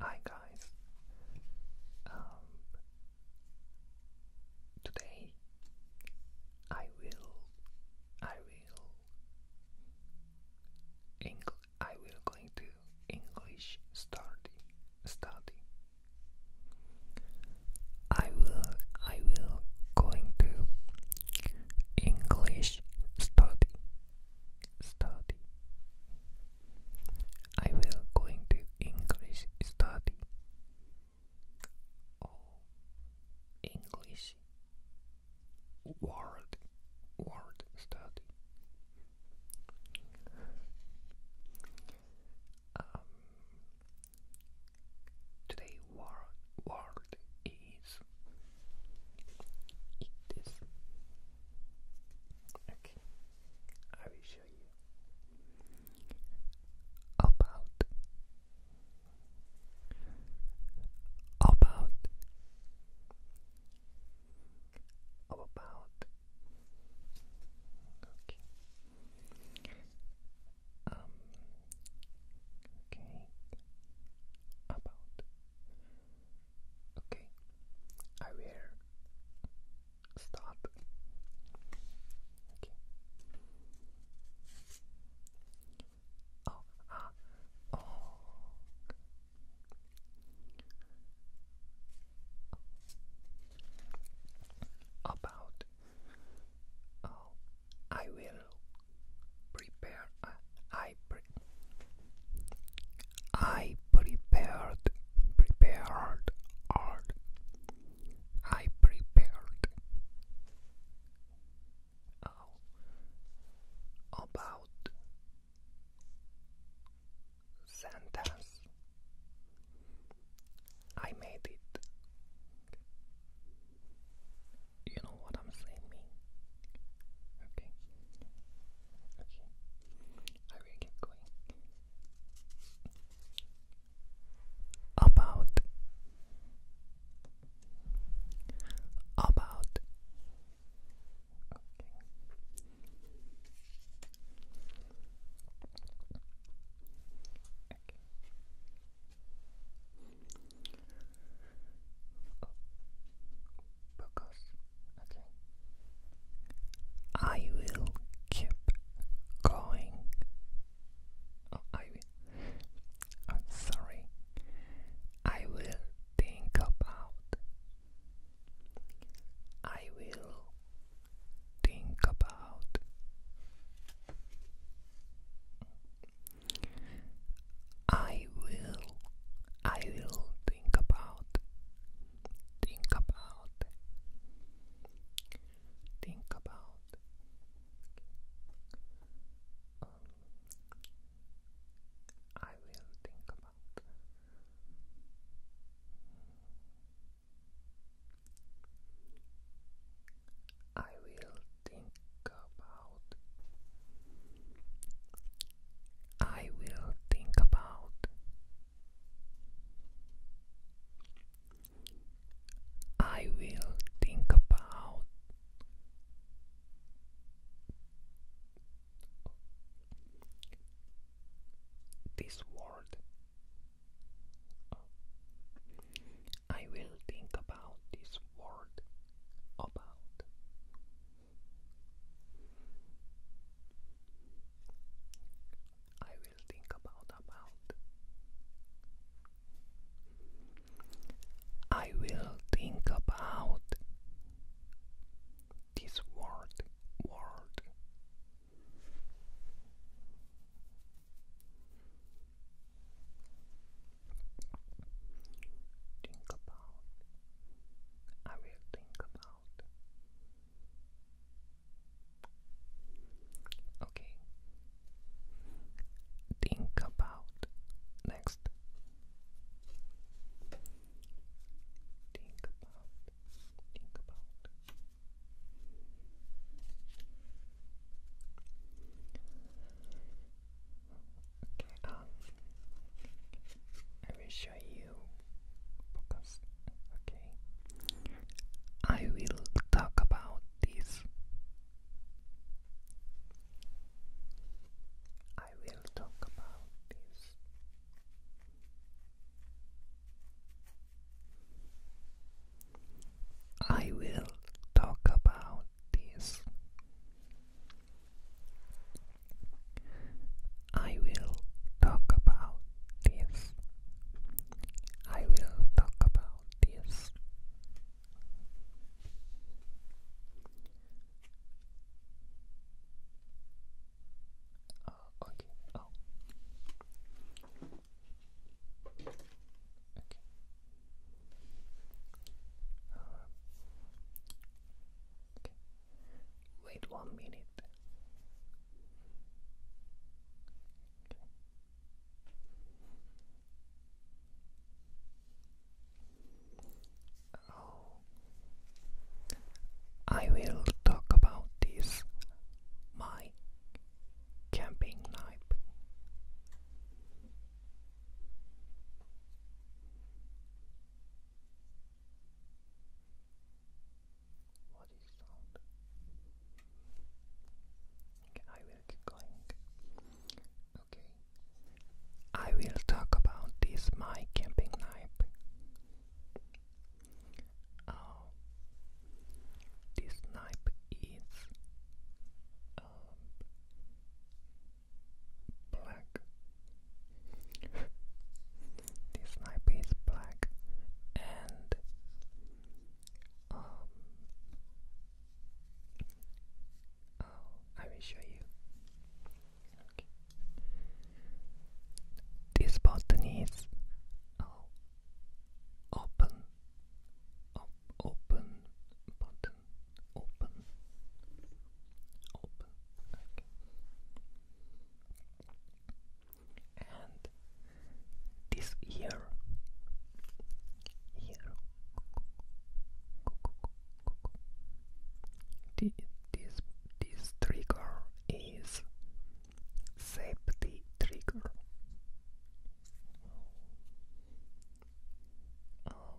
Hi guys. Um, today I will I will Engl I will going to English study study. I will I will going to English study study. I will going to English study oh, English word word study. Um, today word word please eat this. Okay, I will show you about about about okay um okay about Okay, I will stop. Okay. Oh, ah, oh. About oh, I will I prepared prepared art I prepared about sentence I made it you know what I'm saying? Okay. Okay. I will get going. About about because, okay, I will keep going. Oh, I sorry. I will think about. I will think about. I will, I will think about, think about, think about. Um, I will think about. I will think about. I will think about. I will think about. This word. I will think about this word about. I will think about about. I will think about this word word. Think about. I will think about. Okay. Think about next. Think about. Think about. Okay, um, I will show you focus. Okay, I will talk about this. I will talk about this. I will talk about this. I will talk about this. I will talk about this. Uh, okay. Oh. Okay. Wait one minute. I will talk about this my camping knife. What is sound? Okay, I will keep going. Okay. I will talk about this my camping knife. Uh, this knife is um, black. the sniper is black and um oh, I will show you. This button is oh open open button open, open, And this ear, ear, the, this this trigger is safety trigger. Oh.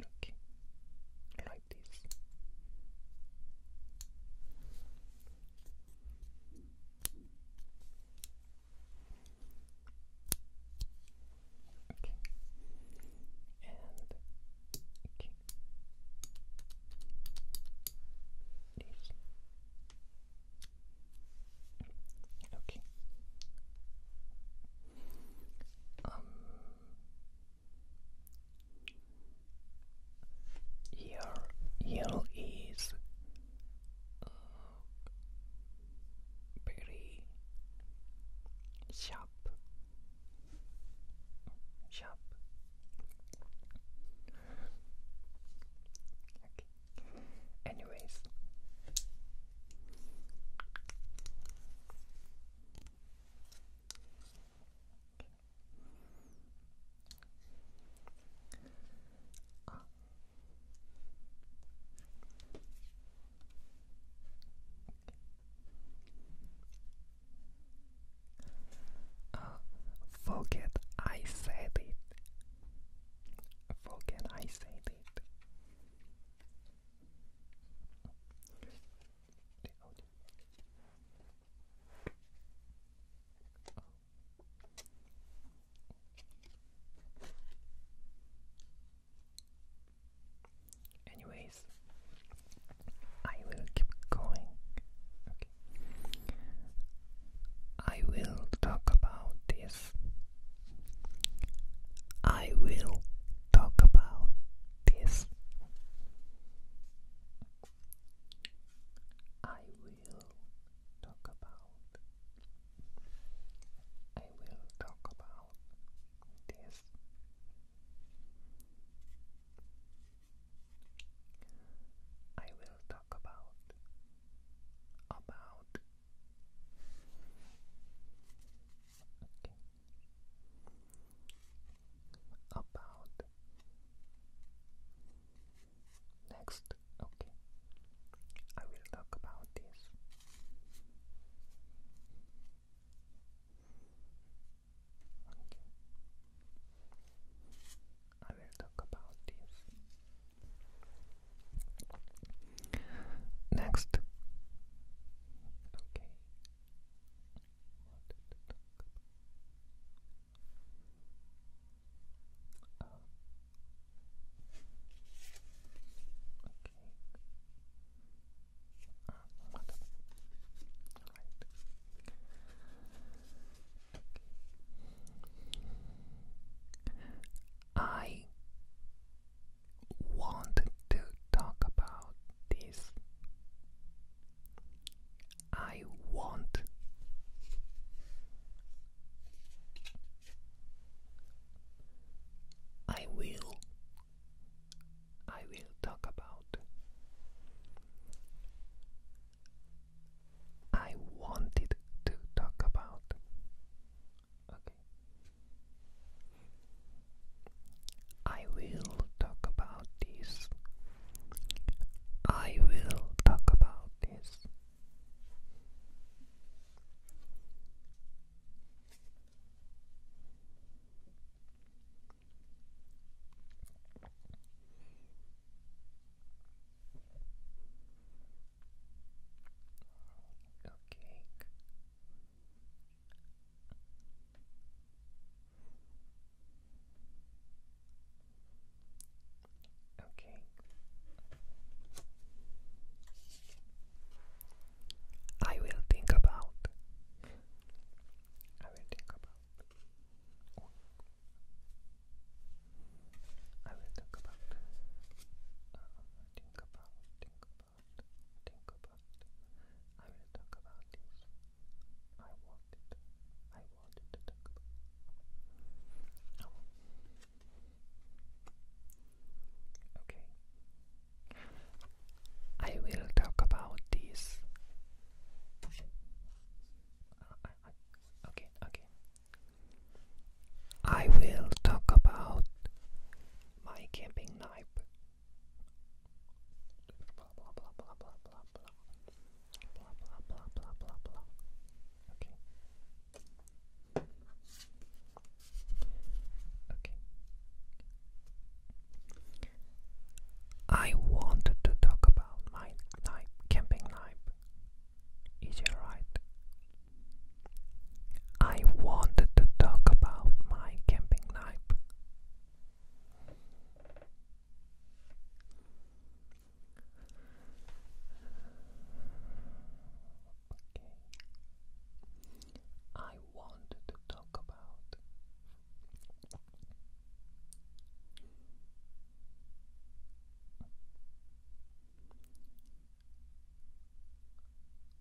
Okay, like this. Okay, and okay. This. Okay here, um, here is very uh, sharp, sharp. Anyways, Forget I said it. Forget I said it. Anyways, I will keep going. I will talk about this I will talk about this. I will talk about. I will talk about this. I will talk about about Okay. About next, okay, I will talk about this. Okay. I will talk about this. Next, okay. Um, okay. I want to talk about this. I want I will I will talk about I wanted to talk about Okay. I will talk about this. I will talk about this. Okay. Okay. I will think about. I will think about. I will think about. Uh, think about. Think about about, think about. I will talk about this. I wanted, I wanted to talk about. Okay. I will talk about this. okay, okay. I will talk about my camping knife. Okay. Okay. I wanted to talk about my knife, camping knife. Is it right? I wanted to talk about my camping life. I wanted to talk about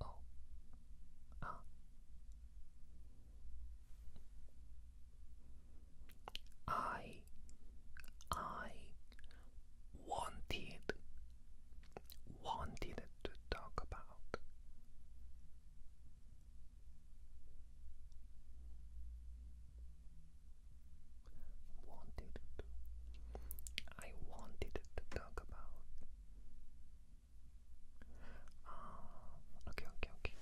Oh. Ah. I I wanted wanted to talk about wanted I wanted to talk about Oh, okay, okay. Okay.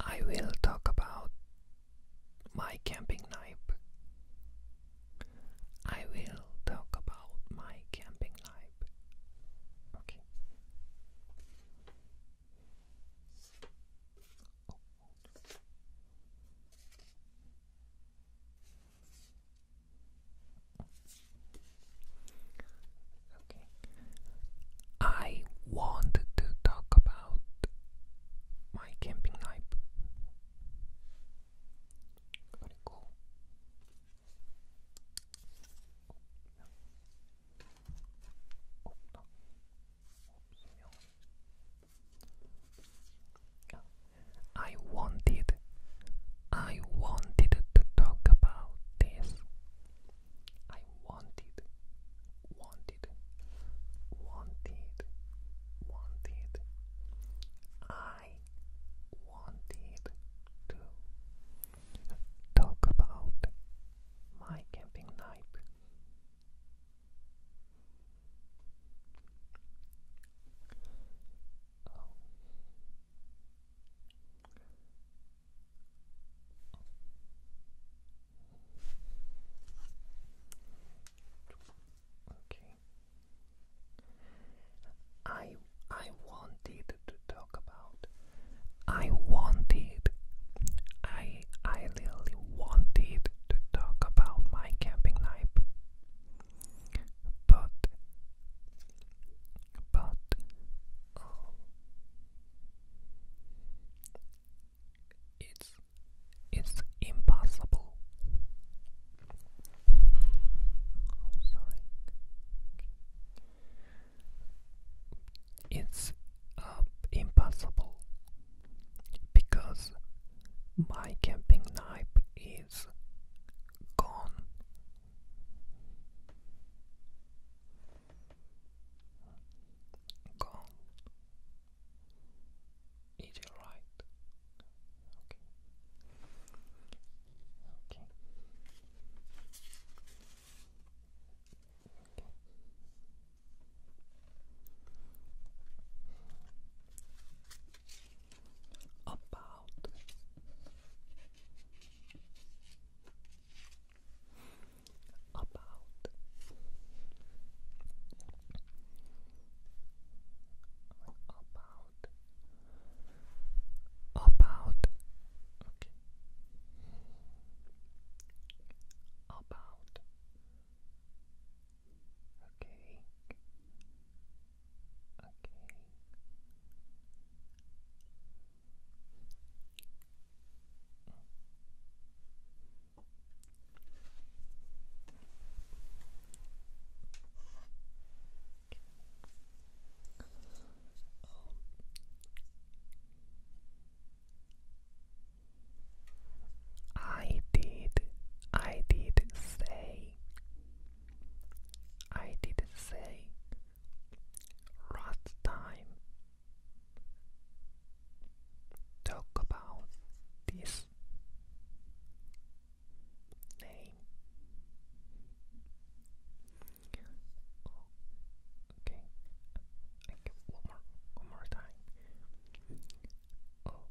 I will talk about my camping knife. I will talk about my camping knife. Okay. Okay. I want to talk about my camping knife. 그리고 없면 I wanted I wanted to talk about this I wanted wanted wanted wanted, I wanted to talk about my camping night. Oh. Okay. I I wanted to talk about. I wanted. I I really wanted to talk about my camping knife. But but oh, it's is impossible. Oh, it's uh, impossible because my camping knife is gone. Gone. Is it right? Okay. Okay. Okay. About about about about about okay okay I did, I did say, I did say last time. Talk about this name. Okay. One more. One more time. Up.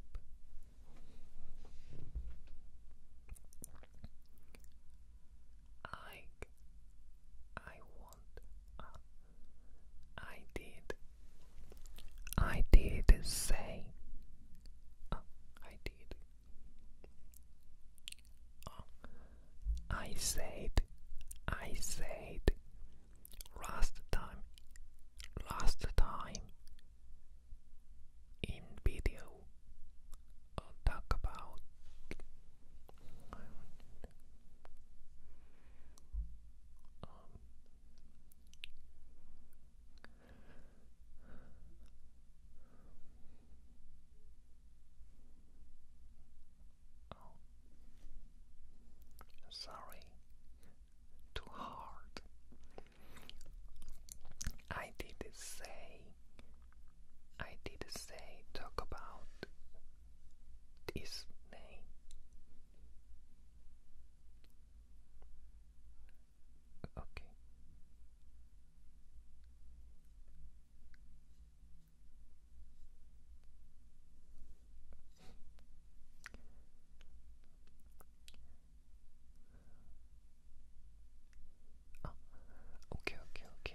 I. I want. I did. I did say. Oh, I did. Oh, I said. I said. Last time. Last time. In video. I'll talk about. Oh. sorry, too hard. I did say, I did say, talk about this name. Oh. Okay. okay, okay.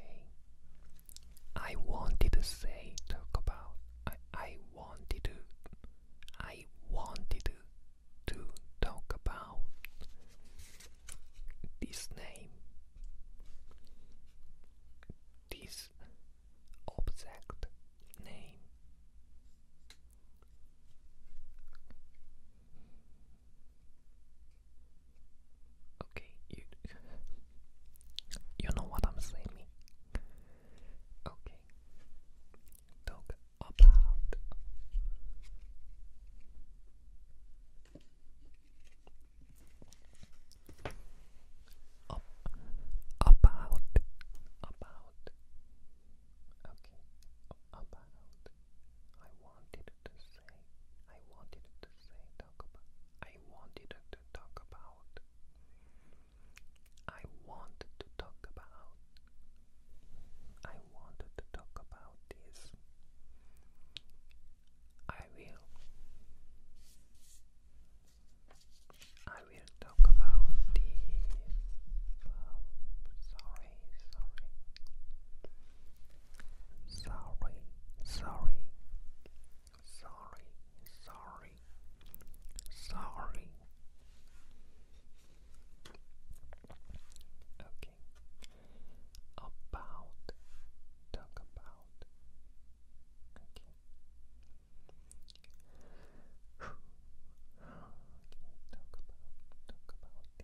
I wanted to say talk about I I wanted to I wanted to to talk about this name, this object name. Okay, you you know what I'm saying. Okay, talk about. about, about. about. I wanted to say, I wanted to say, about. I wanted to talk about. I want to talk about. I wanted to talk about this. I will. I will talk about this. Oh, sorry. Sorry, sorry. Sorry, sorry. Sorry. Okay. About. Talk about. Okay. okay. Talk about. Talk about this. Okay.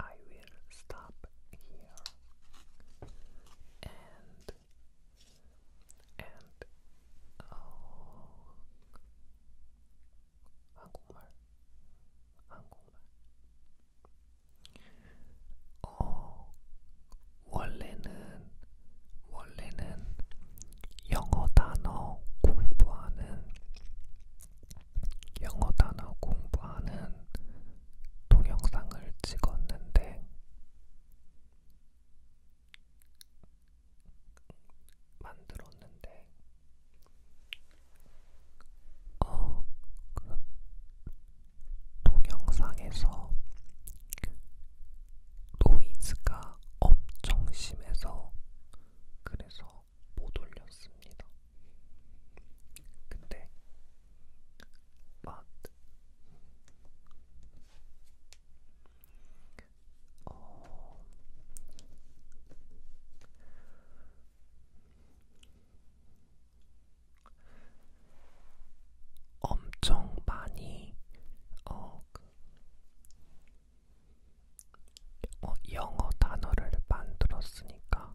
I will stop here and and 어, 한국말 한국말 어 원래는 원래는 영어 단어 공부하는 영어 단어 공부하는 동영상을 찍었는데 만들었는데, 어, 그 동영상에서 노이즈가 엄청 심해서 그래서 못 올렸습니다. 근데 but 어, oh. 엄청 많이 어, 그, 어, 영어 단어를 만들었으니까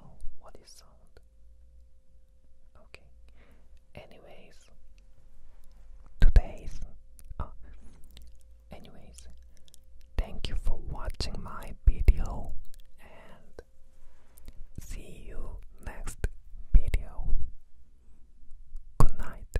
Oh, what is sound? Okay. Anyways, today's. Uh, anyways, thank you for watching my video and see you next video. Good night.